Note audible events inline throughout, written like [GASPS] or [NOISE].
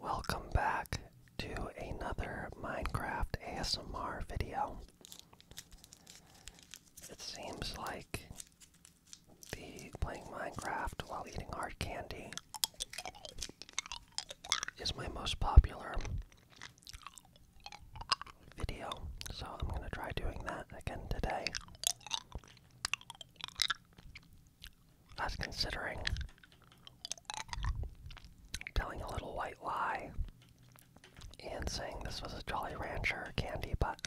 Welcome back to another Minecraft ASMR video. It seems like the playing Minecraft while eating hard candy is my most popular video, so I'm going to try doing that again today. I was considering telling a little white lie and saying this was a Jolly Rancher candy, but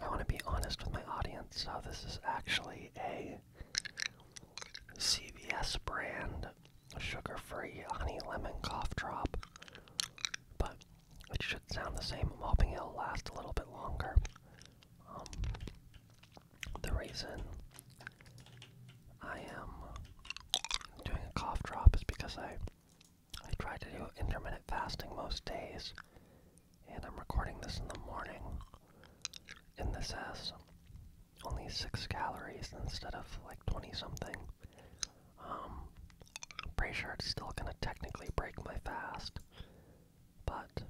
I want to be honest with my audience. So, this is actually a CVS brand sugar free honey lemon cough drop, but it should sound the same. I'm hoping it'll last a little bit longer. Um, the reason I am doing a cough drop is because I I try to do intermittent fasting most days, and I'm recording this in the morning. In this has only six calories instead of like twenty something. Um, i pretty sure it's still gonna technically break my fast, but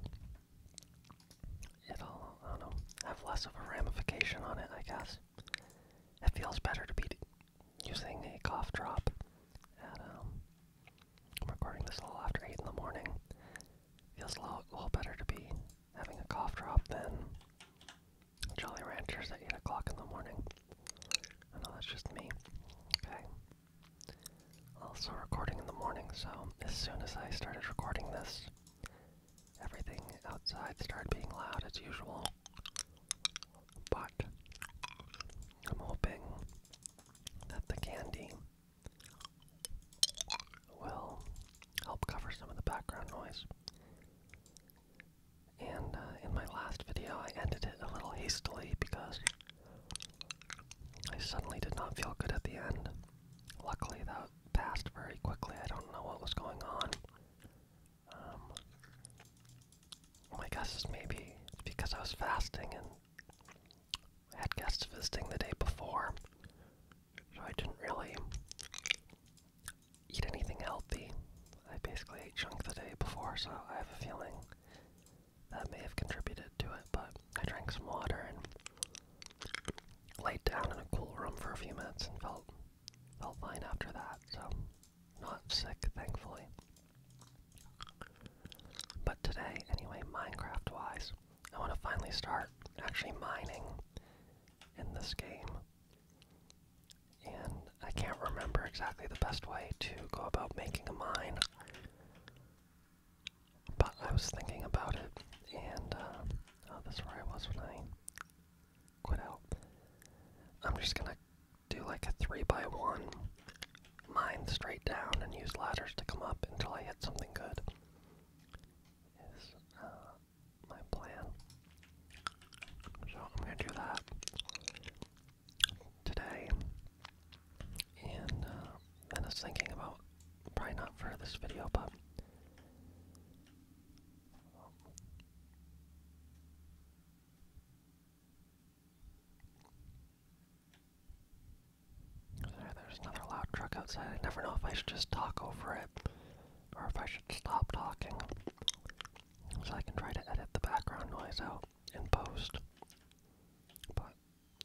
it'll, I don't know, have less of a ramification on it, I guess. It feels better to be using a cough drop um, recording this little after 8 in the morning. Feels a little, a little better to be having a cough drop than Jolly Ranchers at 8 o'clock in the morning. I know that's just me. Okay. Also recording in the morning, so as soon as I started recording this, everything outside started being loud as usual. But I'm hoping that the candy will help cover some of the background noise. And uh, in my last video, I ended it a little hastily because I suddenly did not feel good at the end. Luckily, that passed very quickly. I don't know what was going on. Um, my guess is maybe because I was fasting and I had guests visiting the day before, so I didn't really eat anything healthy. I basically ate junk the day before, so I have a feeling that may have contributed to it, but I drank some water and laid down in a cool room for a few minutes and felt felt fine after that, so not sick thankfully. But today, anyway, Minecraft wise, I want to finally start actually mining in this game. And I can't remember exactly the best way to go about making a mine. But I was thinking about it, and uh, oh, that's where I was when I quit out. I'm just gonna do like a three by one, mine straight down, and use ladders to come up until I hit something good. Is uh, my plan. So I'm gonna do that today. And uh, I was thinking about, probably not for this video, but there's another loud truck outside. I never know if I should just talk over it or if I should stop talking so I can try to edit the background noise out in post. But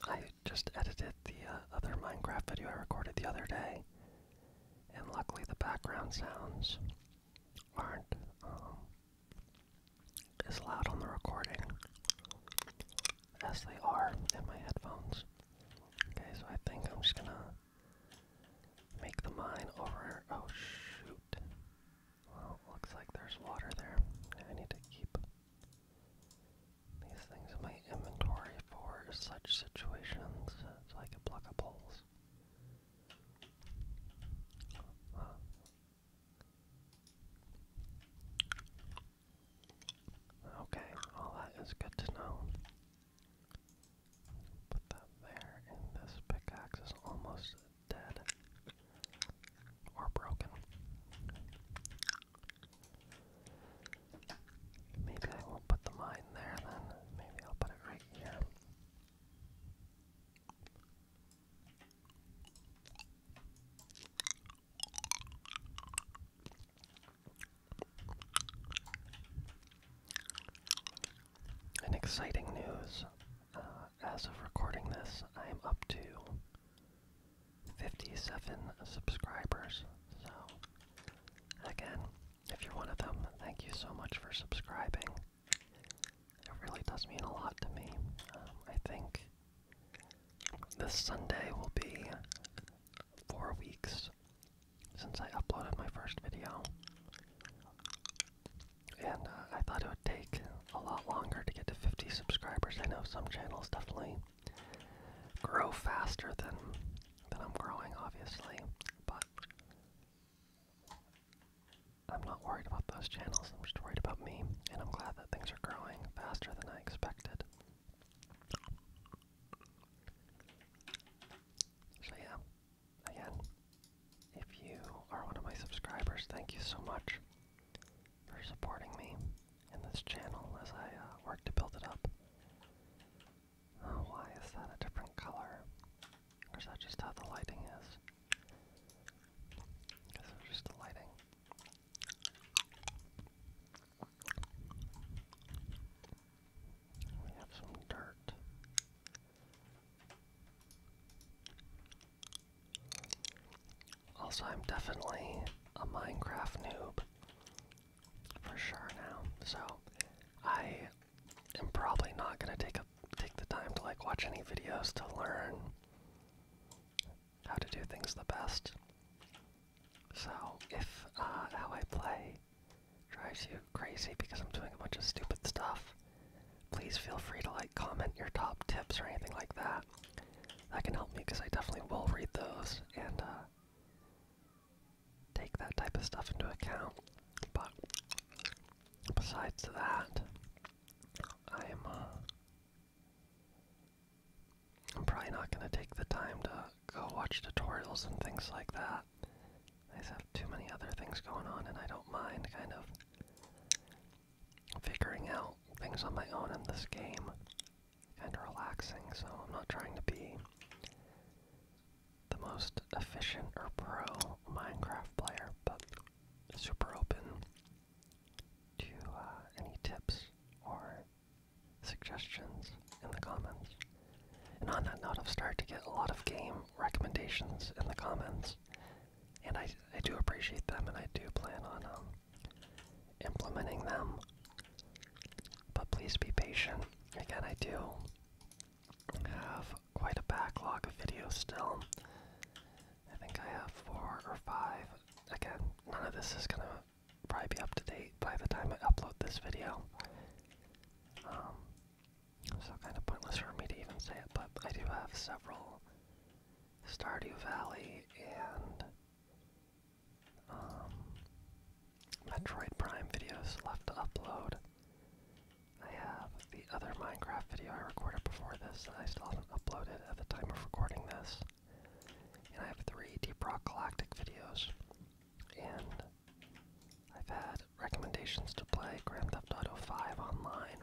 I just edited the uh, other Minecraft video I recorded the other day, and luckily the background sounds aren't um, as loud on the recording as they are in my headphones. Okay, so I think I'm just gonna make the mine over. Oh shoot! Well, looks like there's water there. I need to keep these things in my inventory for such situations. like a block of poles. Uh, okay, all that is good to know. Put that there, and this pickaxe is almost dead or broken. Maybe I won't put the mine there then. Maybe I'll put it right here. And exciting news. Uh, as of recording this, I am up to 57 subscribers. So, again, if you're one of them, thank you so much for subscribing. It really does mean a lot to me. Um, I think this Sunday will be four weeks since I uploaded my first video. And uh, I thought it would take a lot longer to get to 50 subscribers. I know some channels definitely grow faster than than I'm growing, obviously, but I'm not worried about those channels. I'm just worried about me, and I'm glad that things are growing faster than I expected. So yeah, again, if you are one of my subscribers, thank you so much for supporting me in this channel as I uh, work to build it up. why is that a different color? is that just how the lighting is? I guess just the lighting. We have some dirt. Also, I'm definitely a Minecraft noob for sure now, so I am probably not gonna take take the time to like watch any videos to learn how to do things the best. So if uh, how I play drives you crazy because I'm doing a bunch of stupid stuff, please feel free to like comment your top tips or anything like that that can help me because I definitely will read those and uh, take that type of stuff into account. But besides that, I am. Uh, I'm probably not going to take the time to go watch tutorials and things like that. I just have too many other things going on, and I don't mind kind of figuring out things on my own in this game and relaxing, so I'm not trying to be the most efficient or pro Minecraft player, but super open to uh, any tips or suggestions in the comments. And on that note, I've started to get a lot of game recommendations in the comments, and I, I do appreciate them, and I do plan on um, implementing them. But please be patient. Again, I do have quite a backlog of videos still. I think I have four or five. Again, none of this is gonna probably be up to date by the time I upload this video. Um, so kind of pointless for me to even say it, but I do have several Stardew Valley and um, Metroid Prime videos left to upload. I have the other Minecraft video I recorded before this that I still haven't uploaded at the time of recording this. And I have three Deep Rock Galactic videos. And I've had recommendations to play Grand Theft Auto 5 online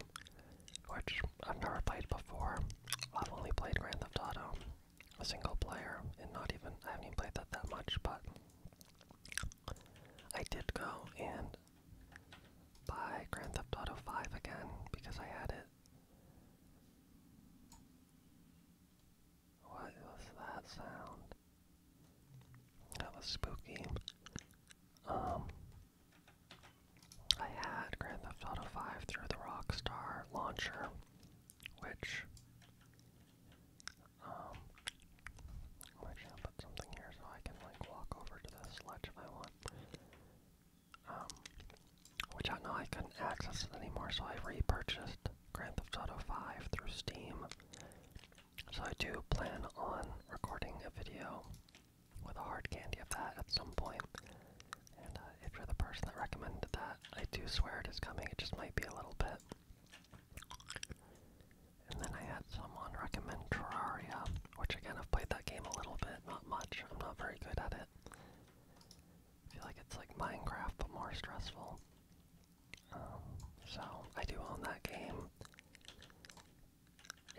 which I've never played before. I've only played Grand Theft Auto, a single player, and not even, I haven't even played that that much, but I did go and buy Grand Theft Auto 5 again because I had it. What was that sound? That was spooky. Um, I had Grand Theft Auto 5 through the Rockstar launcher, which um i put something here so I can like walk over to this ledge if I want. Um which I know I couldn't access anymore, so I repurchased Grand Theft Auto 5 through Steam. So I do plan on recording a video with a hard candy of that at some And uh, if you're the person that recommended that, I do swear it is coming. It just might be a little bit. And then I had someone recommend Terraria, which again I've played that game a little bit, not much. I'm not very good at it. I feel like it's like Minecraft but more stressful. Um, so I do own that game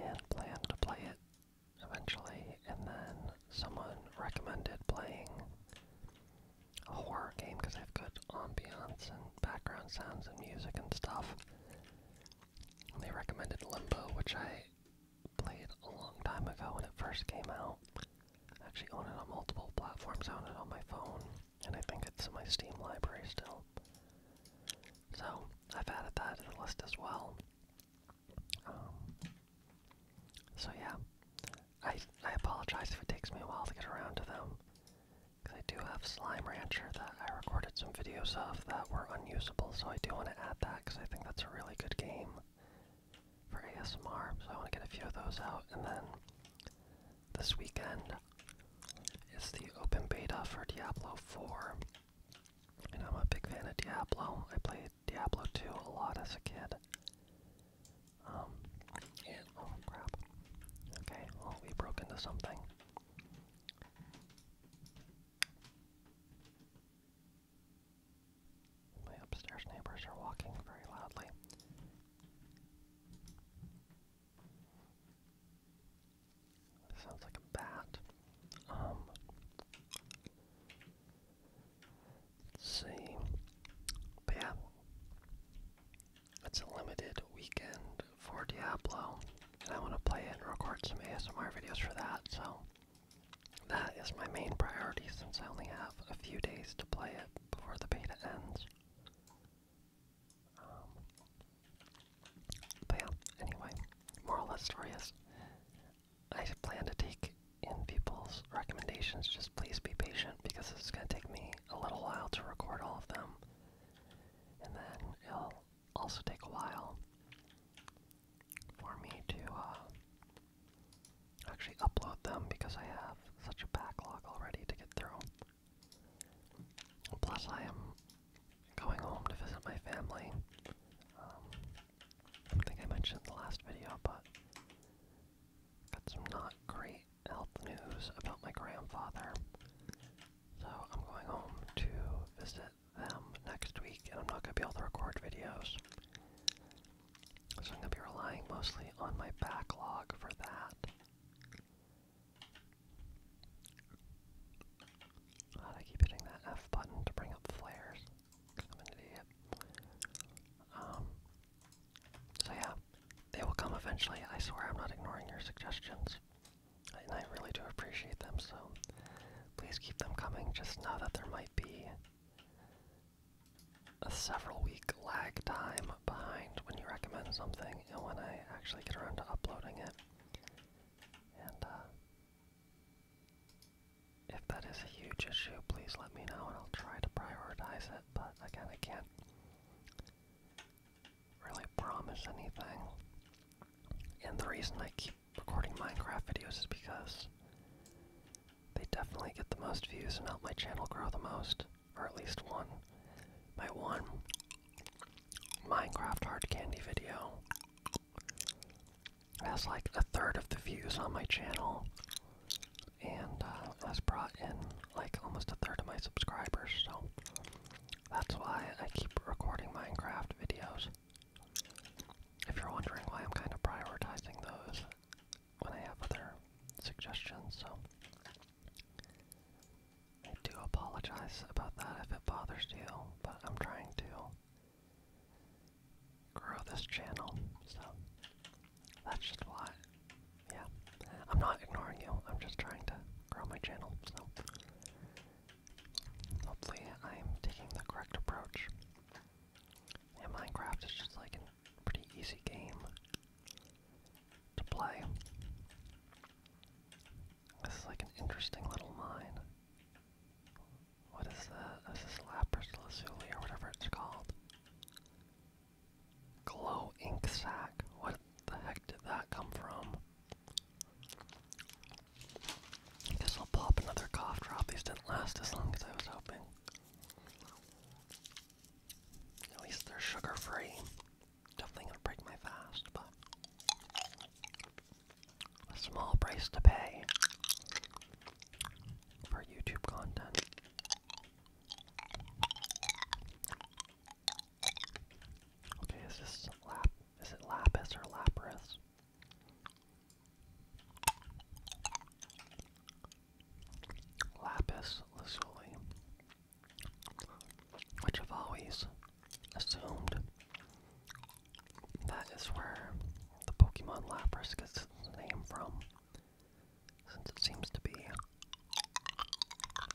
and plan to play it eventually, and then someone recommended playing a horror game because they have good ambience and background sounds and music and stuff. they recommended Limbo, which I played a long time ago when it first came out. I actually own it on multiple platforms, I own it on my phone, and I think it's in my Steam library still. So, I've added that to the list as well. Um, so yeah, I I apologize if it takes me a while to get around to them, because I do have Slime Rancher that I recorded some videos of that were unusable, so I do want to add that because I think that's a really good game for ASMR. So I want to get a few of those out, and then this weekend is the open beta for Diablo 4. And I'm a big fan of Diablo. I played Diablo 2 a lot as a kid. Um, oh, okay, we broke into something. My upstairs neighbors are walking very loudly. Sounds like a bat. Um, Let's see. But yeah. It's a limited weekend for Diablo. And I want to play it and record some ASMR videos for that, so that is my main priority since I only have a few days to play it before the beta ends. Um, but yeah, anyway, moral of the story I plan to take in people's recommendations. Just please be patient because it's going to take me a little while to record all of them. And then it'll also take a while for me to uh, actually upload them because I have such a backlog already to get through. Plus, I am going home to visit my family. Um, I think I mentioned the last video, but got some not great health news about my grandfather. So I'm going home to visit them next week, and I'm not going to be able to record videos. So I'm going to be relying mostly on my backlog for that. God, I keep hitting that F button to bring up flares i um, so yeah, they will come eventually. I swear I'm not ignoring your suggestions. And I really do appreciate them, so please keep them coming. Just know that there might be a several week lag time behind when you recommend something and when I actually get around to uploading it. Uh, if that is a huge issue, please let me know and I'll try to prioritize it, but again, I can't really promise anything. And the reason I keep recording Minecraft videos is because they definitely get the most views and help my channel grow the most, or at least one. My one Minecraft hard candy video that's like a third of the views on my channel, and uh, that's brought in like almost a third of my subscribers, so that's why I keep recording Minecraft videos. If you're wondering why I'm kind of prioritizing those when I have other suggestions, so I do apologize about that if it bothers you, but I'm trying to grow this channel. So that's just why. Yeah. I'm not ignoring you. I'm just trying to grow my channel. So hopefully I'm taking the correct approach. And Minecraft is just like a pretty easy game to play. This is like an interesting little mine. What is that? This is Lapras Lazuli or whatever it's called. Glow ink sac. What the heck did that come from? guess I'll pop another cough drop. These didn't last as long as I was hoping. At least they're sugar free. Definitely gonna break my fast, but a small price to pay for YouTube content. Okay, is this lap? Is it lapis or lapras? Lapis lazuli, which I've always assumed that is where the Pokemon Lapras gets its name from, since it seems to be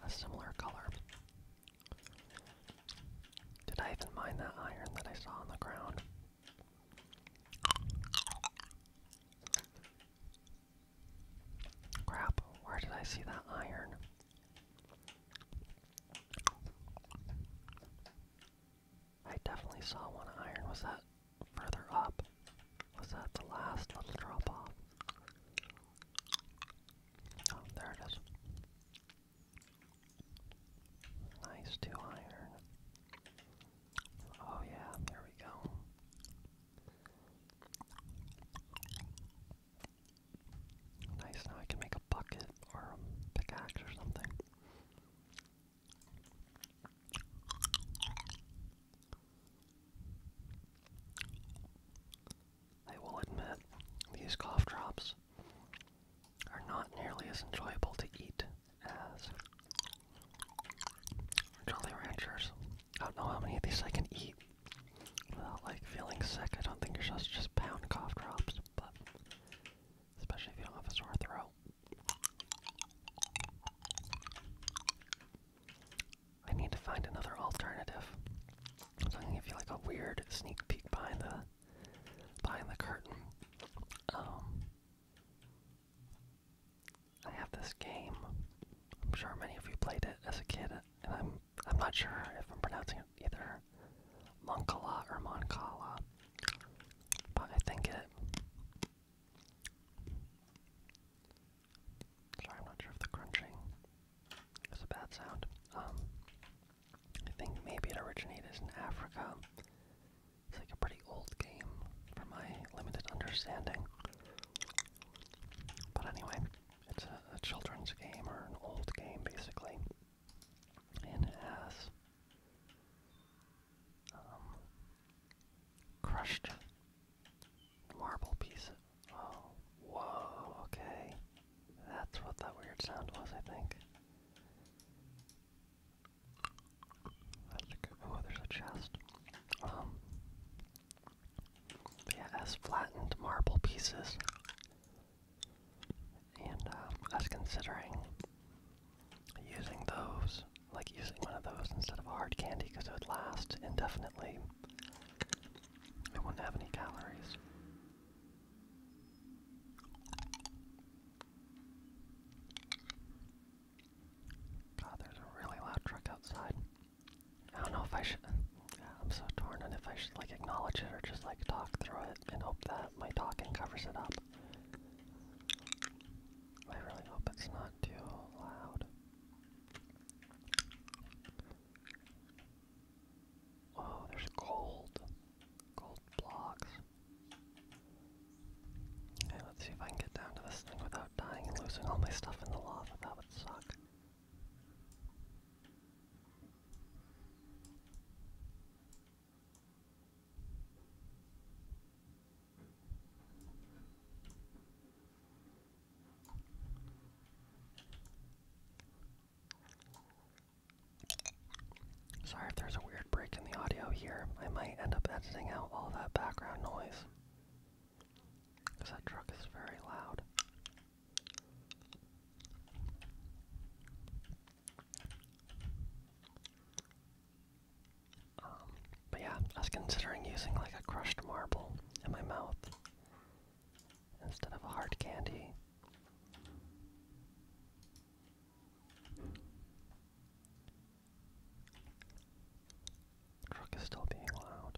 a similar color. Did I even mind that iron that I saw on the ground? Crap, where did I see that iron? I definitely saw one iron. Was that further up? Was that the last little drop off? Oh, there it is. Nice two iron. Oh yeah, there we go. Nice, now I can make a bucket or pickaxe or something. I will admit, these cough drops are not nearly as enjoyable to eat as Jolly Ranchers. I don't know how many of these I can eat without like feeling sick. I don't think you're supposed to just pound cough drops, but especially if you don't have a sore throat. I need to find another alternative. So I'm gonna give you like a weird sneak peek behind the behind the curtain. Um, I have this game. I'm sure many of you played it as a kid, and I'm I'm not sure if I'm pronouncing it either or or Moncala. But I think it. Sorry, I'm not sure if the crunching is a bad sound. Um, I think maybe it originated in Africa. It's like a pretty old game, for my limited understanding. But anyway, it's a children's game or an old game, basically and it has um, crushed marble piece. Oh, whoa, okay. That's what that weird sound was, I think. oh, there's a chest. Um, but yeah, flattened marble pieces and I um, was considering using those, like using one of those instead of hard candy because it would last indefinitely. It wouldn't have any calories. God, there's a really loud truck outside. I don't know if I should. I'm so torn on if I should like acknowledge it or just like talk through it and hope that my talking covers it up. I really hope it's not too loud. Oh, there's gold. Gold blocks. Okay, let's see if I can get down to this thing without dying and losing all my stuff in the lava. That would suck. Sorry if there's a weird break in the audio here. I might end up editing out all that background noise. Because that truck is very loud. Um, but yeah, I was considering using like a crushed marble in my mouth instead of a hard candy. Crook is still being loud.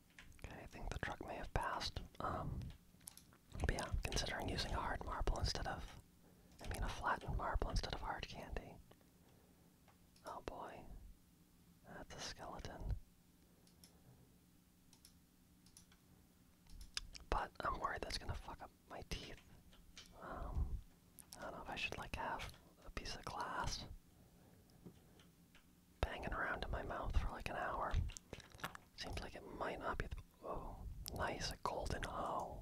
Okay, I think the truck may have passed. Um, yeah, considering using a hard marble instead of, I mean, a flattened marble instead of hard candy. Oh boy, that's a skeleton. But I'm worried that's gonna fuck up my teeth. Um, I don't know if I should like have a piece of glass banging around in my mouth for like an hour. Seems like it might not be the. Oh, nice, a golden O.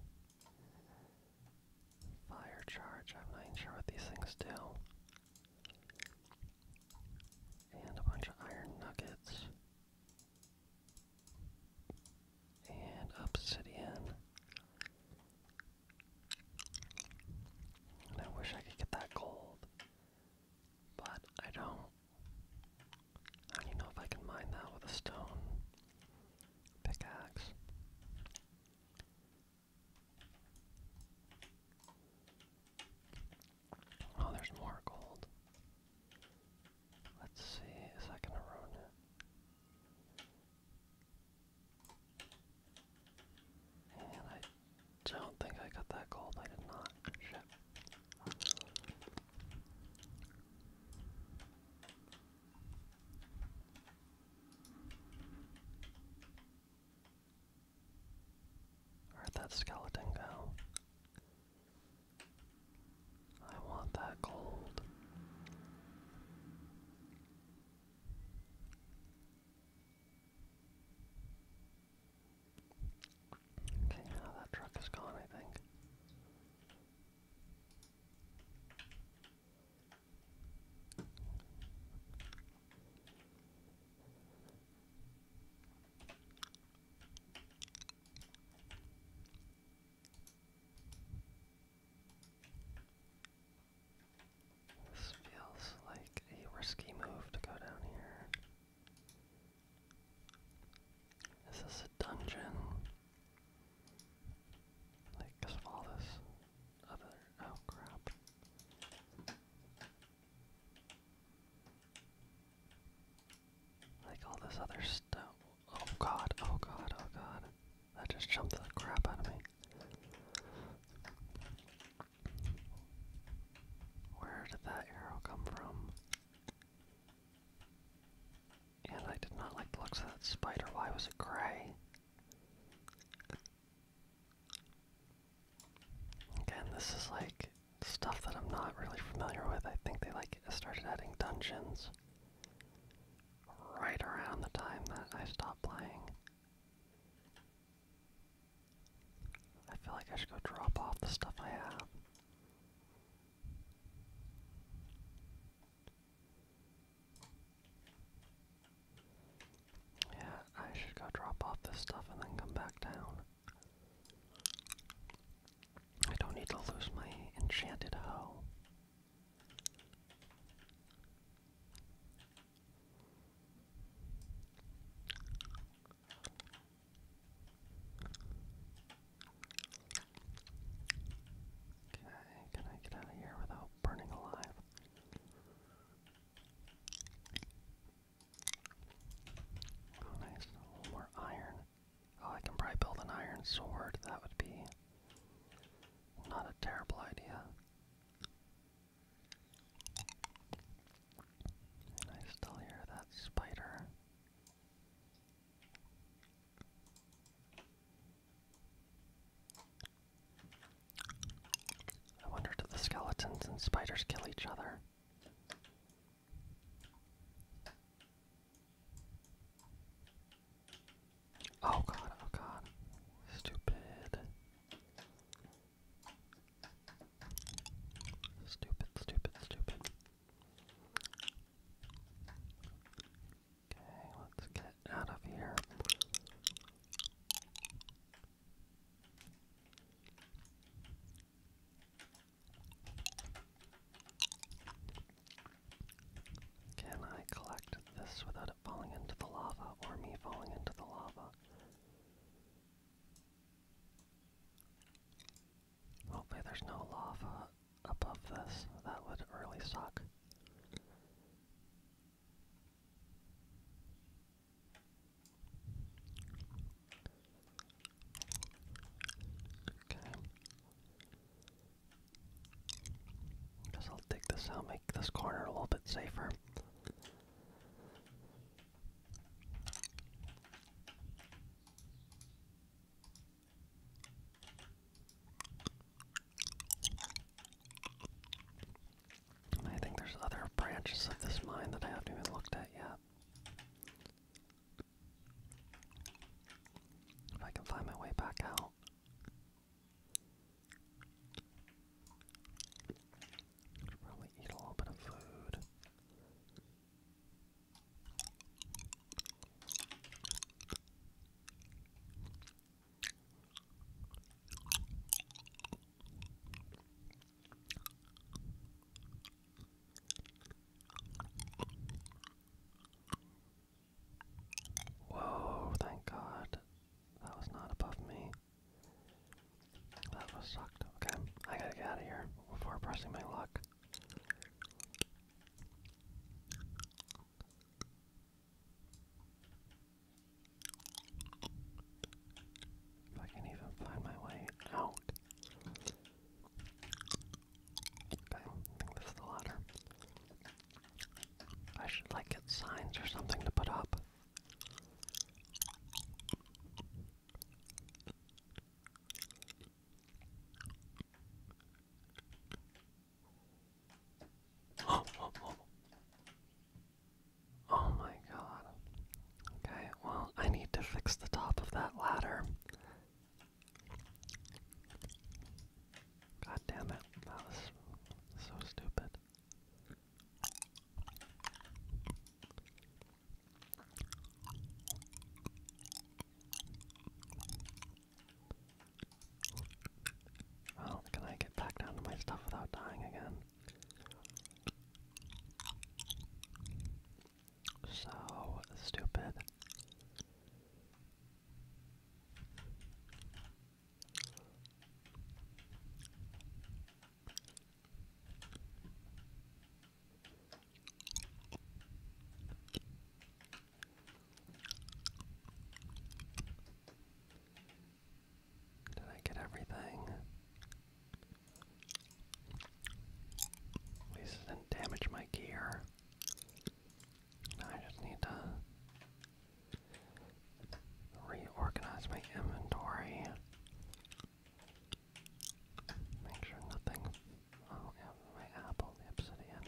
Fire charge, I'm not even sure what these things do. And a bunch of iron nuggets. And obsidian. I wish I could get that gold. But I don't. I do know if I can mine that with a stone pickaxe. Oh, there's more gold. Let's see, is that gonna ruin it? I don't think I got that gold. I did not. Where'd that skeleton go? I want that gold. Okay, now that truck is gone, I think. This feels like a risky move to go down here. Is this a dungeon? Like, cause all this other. Oh crap. Like all this other stuff. Oh god, oh god, oh god. That just jumped the crap out of me. Where did that arrow come from? And I did not like the looks of that spider. Why was it gray? Again, this is like stuff that I'm not really familiar with. I think they like started adding dungeons right around the time that I stopped playing. I feel like I should go drop off the stuff I have. Yeah, I should go drop off this stuff and then come back down. I don't need to lose my enchanted hoe. Okay, can I get out of here without burning alive? Oh, nice. more iron. Oh, I can probably build an iron sword. That would be not a terrible idea. I still hear that spider. I wonder do the skeletons and spiders kill each other? Oh god, oh god. Stupid. Stupid, stupid, stupid. Okay, let's get out of here. Can I collect this without falling into the lava or me falling into the lava. Hopefully, there's no lava above this. That would really suck. Okay. Guess I'll dig this out, make this corner a little bit safer. I think there's other branches of this mine that I haven't even looked at yet. If I can find my way back out probably eat a little bit of food. Whoa, thank God. That was not above me. That was sucked. Okay, I gotta get out of here before pressing my luck. If I can even find my way out. Okay, I think this is the ladder. I should like get signs or something to put up. [GASPS] Oh, my god. Okay, well, I need to fix the top of that ladder. God damn it. That was so stupid. Well, can I get back down to my stuff without dying again? So stupid. Did I get everything? At didn't damage my gear. I just need to reorganize my inventory. Make sure nothing. Oh, my apple, the obsidian.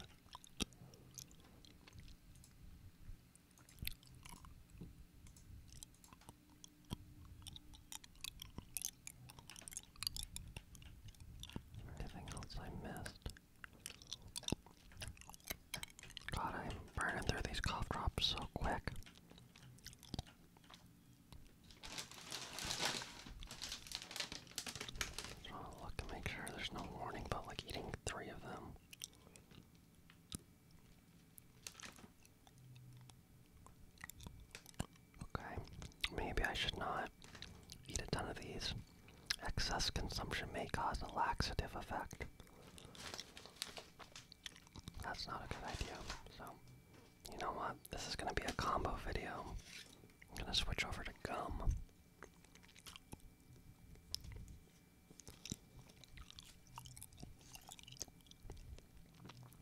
Anything else I missed? God, I'm burning through these cough drops so quick. Just want to look and make sure there's no warning about like eating three of them. Okay, maybe I should not eat a ton of these. Excess consumption may cause a laxative effect. That's not a good idea. So, you know what? This is going to be a combo video. I'm going to switch over to gum.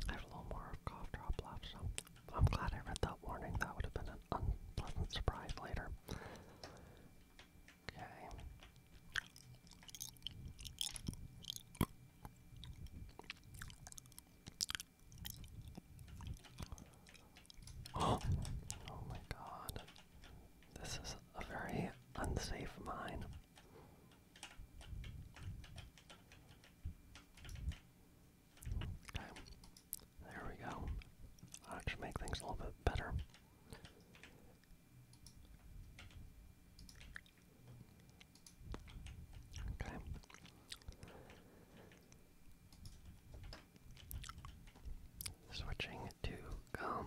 I have a little more cough drop left, so I'm glad I read that warning. That would have been an unpleasant surprise later. [GASPS] Oh, my god. This is a very unsafe mine. Okay. There we go. I'll just make things a little bit better. Okay. Switching to gum.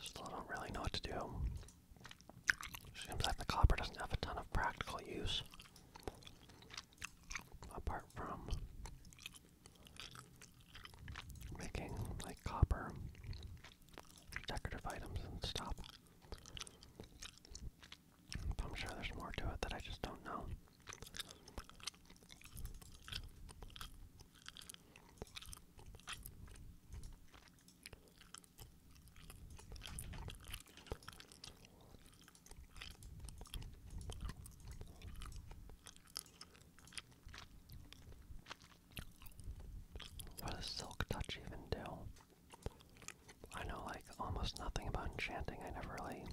Still don't really know what to do. Seems like the copper doesn't have a ton of practical use apart from making like copper decorative items and stuff. I'm sure there's more to it that I just don't know. What does Silk Touch even do? I know like almost nothing about enchanting. I never really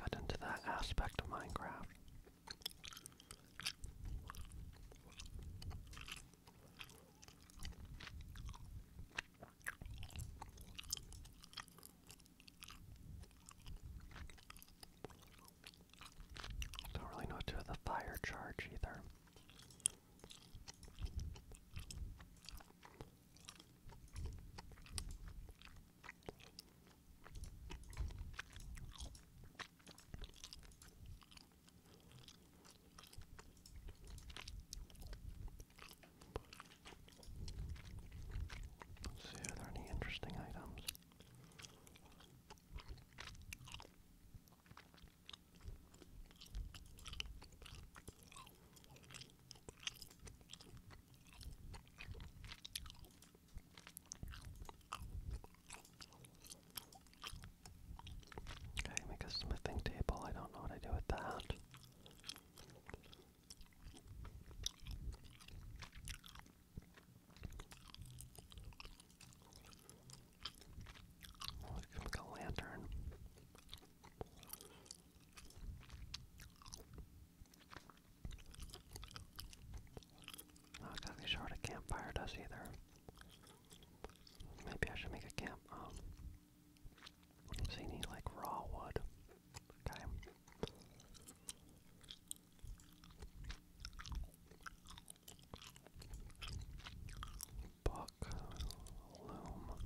got into that aspect of Minecraft. Don't really know what to do with the fire charge either. Let's see if there are any interesting items. Okay, make a smithing table. I don't know what I do with that. Oh, it comes with a lantern. Not exactly sure what a campfire does either. Maybe I should make a camp um, so need like raw wood. Okay. Book loom.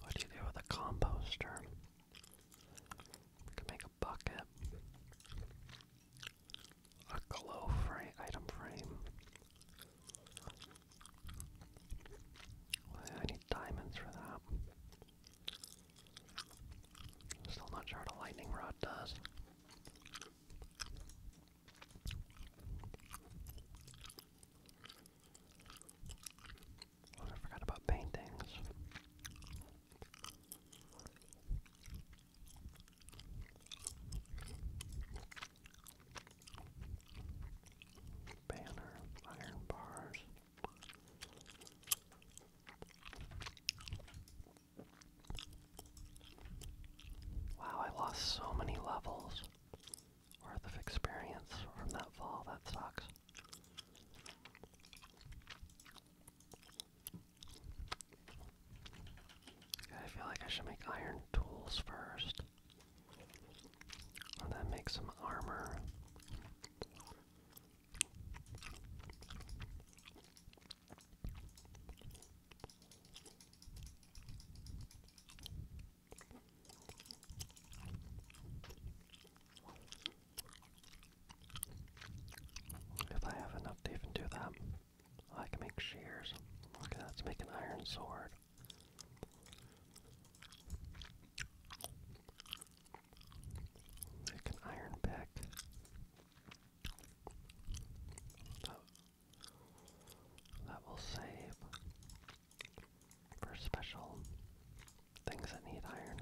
What do you do with a composter? can make a bucket. A glow frame item frame. I need diamonds for that. still not sure what a lightning rod does. Oh, I forgot about paintings banner, iron bars. Wow, I lost so many levels worth of experience from that fall. That sucks. I feel like I should make iron tools first. Oh, that makes some armor. If I have enough even do that, I can make shears. Look at that, it's making iron sword. Like an iron pick. That, will save for special things that need iron.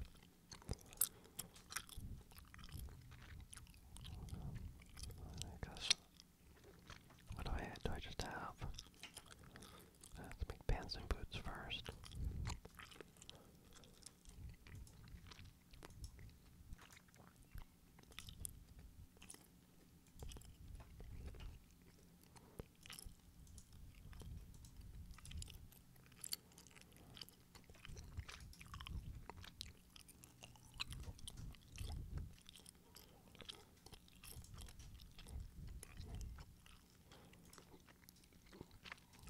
I guess. What do I do? I just have Let's make pants and boots first.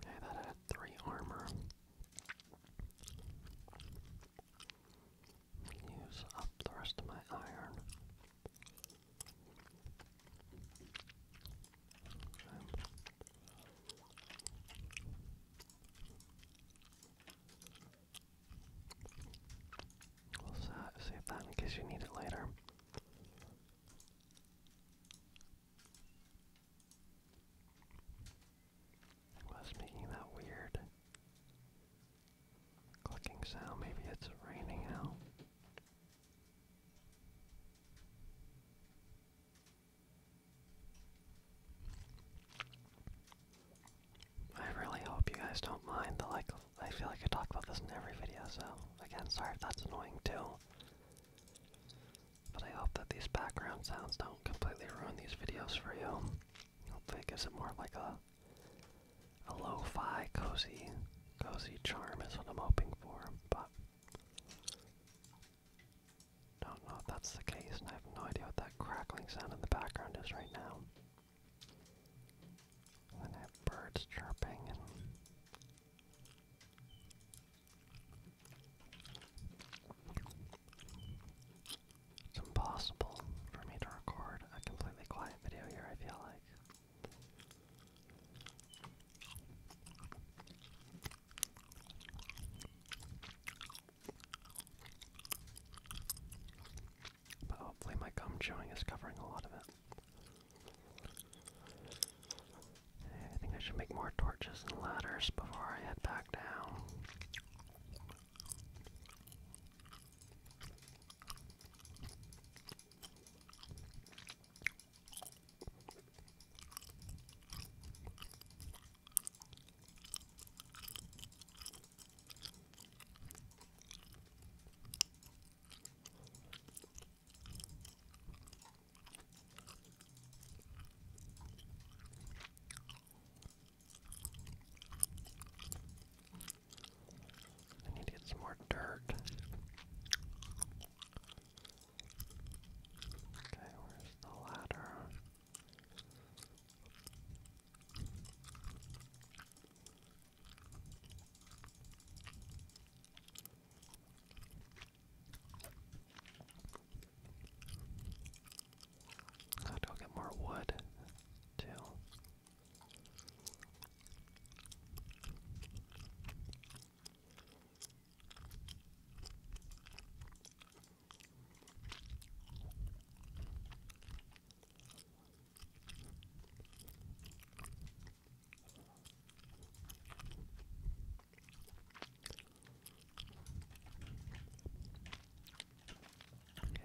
Yeah, that had three armor. Use up the rest of my iron. Okay. We'll save that in case you need it later. What's making that weird clicking sound? Maybe it's raining out. I really hope you guys don't mind the like I feel like I talk about this in every video, so again, sorry that's annoying too. But I hope that these background sounds don't completely ruin these videos for you. Hopefully it gives it more like a a lo-fi cozy cozy charm is what I'm hoping for, but don't know if that's the case and I have no idea what that crackling sound in the background is right now. And birds chirping and it's impossible for me to record a completely quiet video here, I feel like. But hopefully my gum chewing is covering a lot of it. I think I should make more torches and ladders before I head back down. I need to get some more dirt. Okay, where's the ladder? I'll go get more wood, too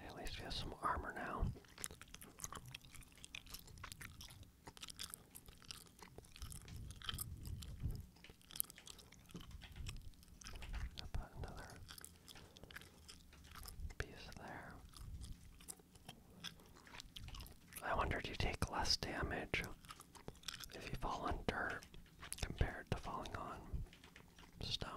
at least we have some armor now. i put another piece there. I wonder if you take less damage if you fall on dirt compared to falling on stone?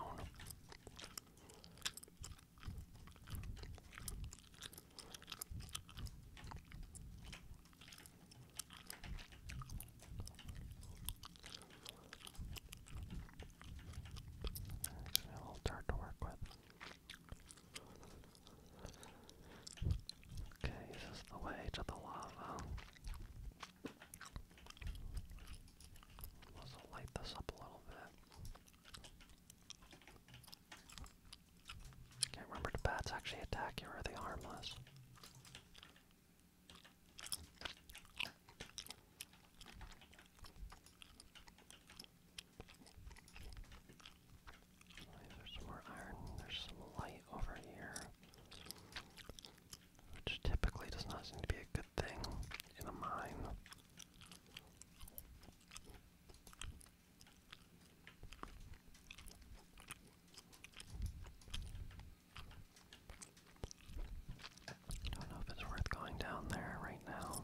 A little dirt to work with. Okay, is the way to the lava? Let's light this up a little bit. can remember the bats actually attack you or they harmless? There's some more iron. There's some light over here. Which typically does not seem to be a good thing in a mine. I don't know if it's worth going down there right now.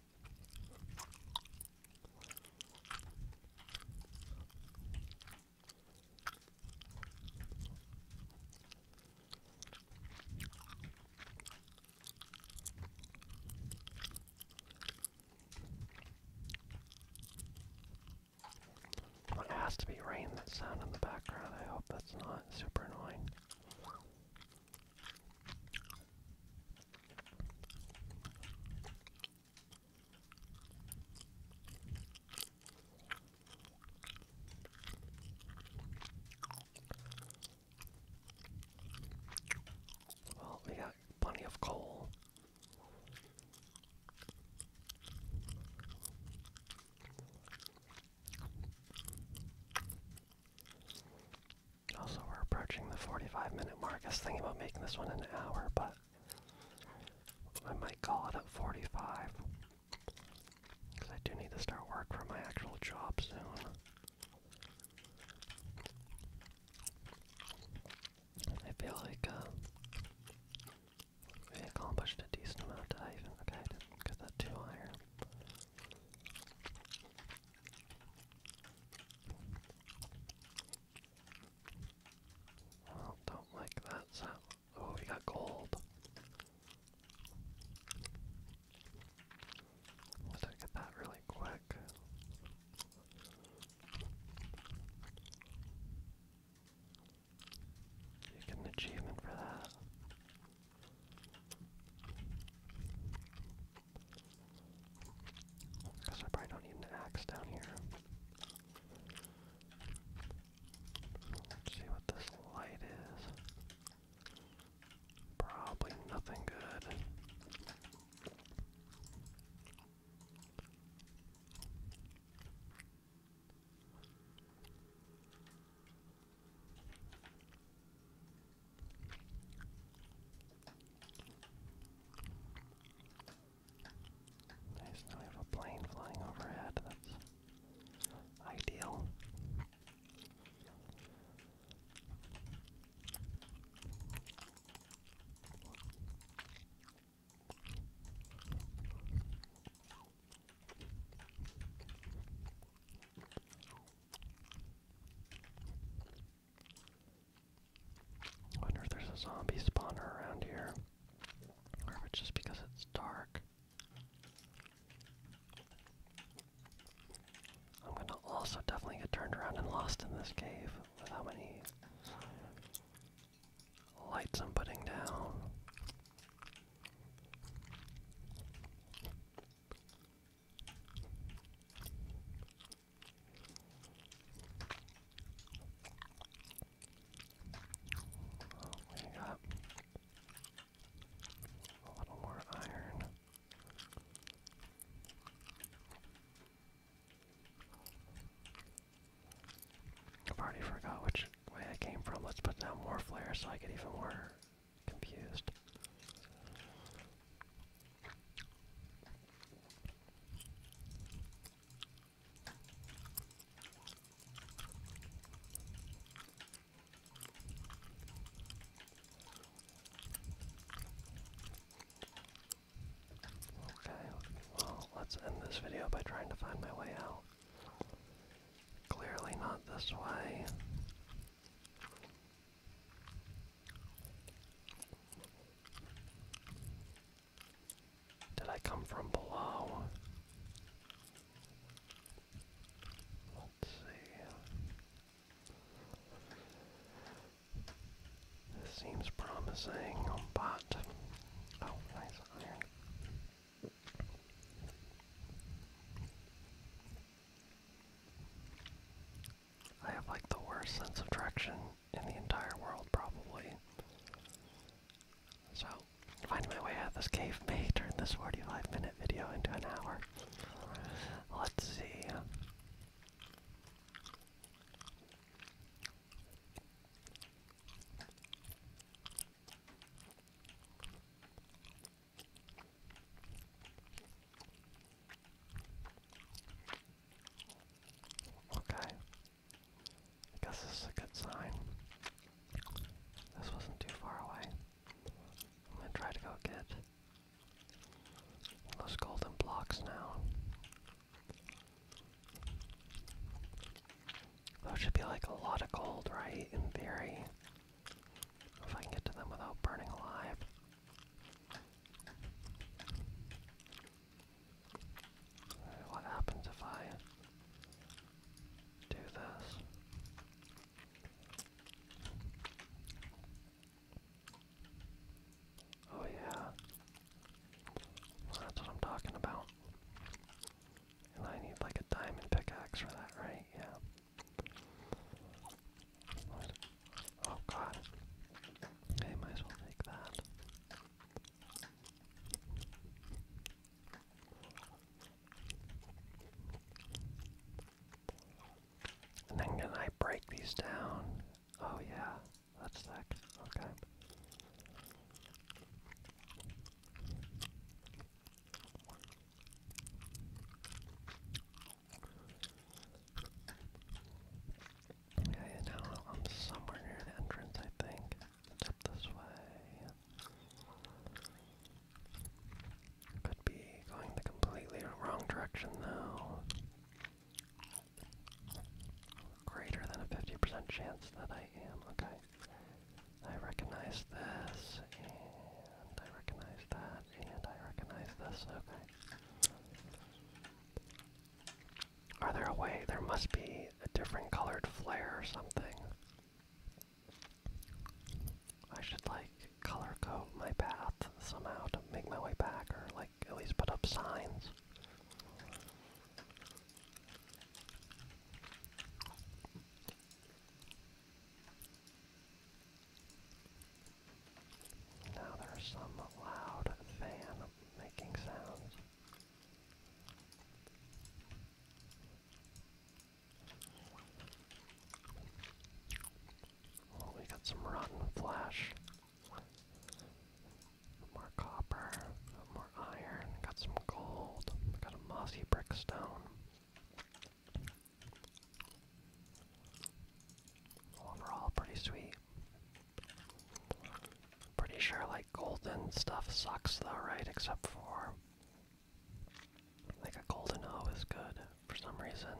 Well, it has to be rain that sound in the background. I hope that's not super annoying. Well, we got plenty of coal. Also, we're approaching the 45 minute mark. I was thinking about making this one an hour, but I might call it at 45. Because I do need to start work for my actual job soon. I feel like uh, we accomplished a decent amount Okay, I that too higher. Oh, don't like that Oh, we got gold. Let's get that really quick. You get an achievement for that. Because I probably don't need an axe down here. Let's see what this light is. Probably nothing good. Nice, now we have a plane flying overhead, that's ideal. I wonder if there's a zombie spawner around here. Or if it's just because it's dark. I'm gonna also definitely get turned around and lost in this cave with how lights I'm putting down. We got a little more iron. I've already forgot which way I came from. Let's put down more flares so I get even more confused. Okay, well, let's end this video by trying to find my way out. Clearly not this way. Did I come from below? Let's see. This seems promising, but oh, nice iron. I have like the worst sense of direction in the entire world, probably. So, finding my way out of this cave may [LAUGHS] turn this 45 minute video into an hour. Let's see. Okay. I guess this is a good sign. This wasn't too far away. I'm gonna try to go get those golden blocks now. Those should be like a lot of gold, right? In theory. If I can get to them without burning alive. What happens if I do this? Oh, yeah. that's what I'm talking about. And I need like a diamond pickaxe for that, right? Yeah. Oh god. I might as well take that. then can I break these down? Oh yeah, that's sick. Okay. Yeah, now I'm somewhere near an entrance, I think. this way. Could be going the completely wrong direction, though. Greater than a 50% chance that I am. Okay. I recognize this, and I recognize that, and I recognize this. Okay. Are there a way? There must be a different colored flare or something. I should like color code my path somehow to make my way back, or like at least put up signs. Now there's some loud fan making sounds. we got some rotten flesh. More copper, more iron, got some gold, got a mossy brick Overall, pretty sweet. Pretty sure like golden stuff sucks though, right? Except for like a golden O is good for some reason.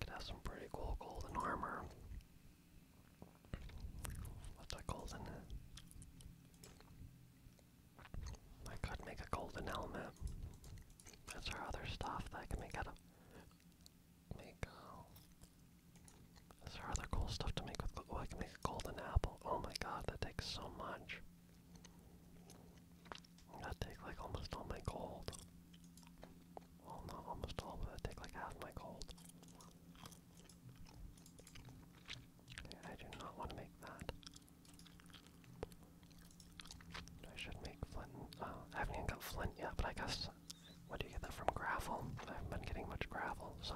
Could have some pretty cool golden armor. What's a golden? I could make a golden helmet. That's our other stuff that I can make out of make oh. That's our other cool stuff to make with oh I can make a golden apple. Oh my god, that takes so much. That take like almost all my gold. almost all, but that take like half my gold. I do not want to make that. I should make flint. Uh, I haven't even got flint yet, but I guess. What do you get that from? Gravel? I have been getting much gravel, so.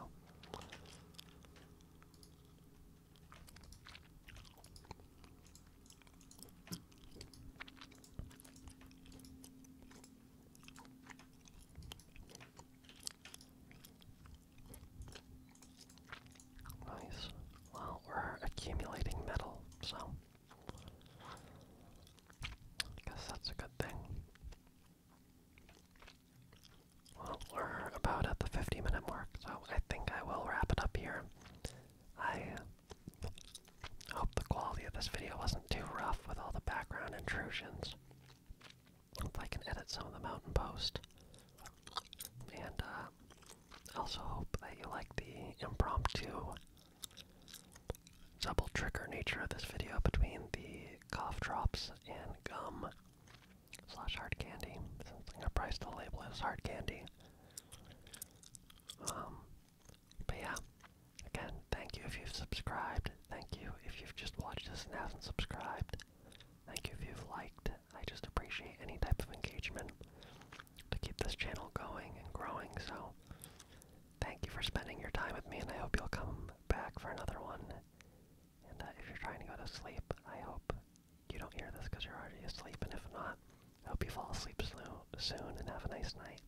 Nice. Well, we're accumulating metal, so I guess that's a good thing. Well, we're about at the 50 minute mark, so I think I will wrap it up here. I hope the quality of this video wasn't too rough with all the background intrusions if I can edit some of the Mountain Post. And I uh, also hope that you like the impromptu double trigger nature of this video between the cough drops and gum slash hard candy. Since I'm gonna label as hard candy. Um, but yeah, again, thank you if you've subscribed. Thank you if you've just watched this and have not subscribed. Thank you if you've liked. I just appreciate any type of engagement to keep this channel going and growing. So, thank you for spending your time with me, and I hope you'll come back for another one. And uh, if you're trying to go to sleep, I hope you don't hear this because you're already asleep. And if not, I hope you fall asleep soon and have a nice night.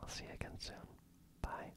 I'll see you again soon. Bye.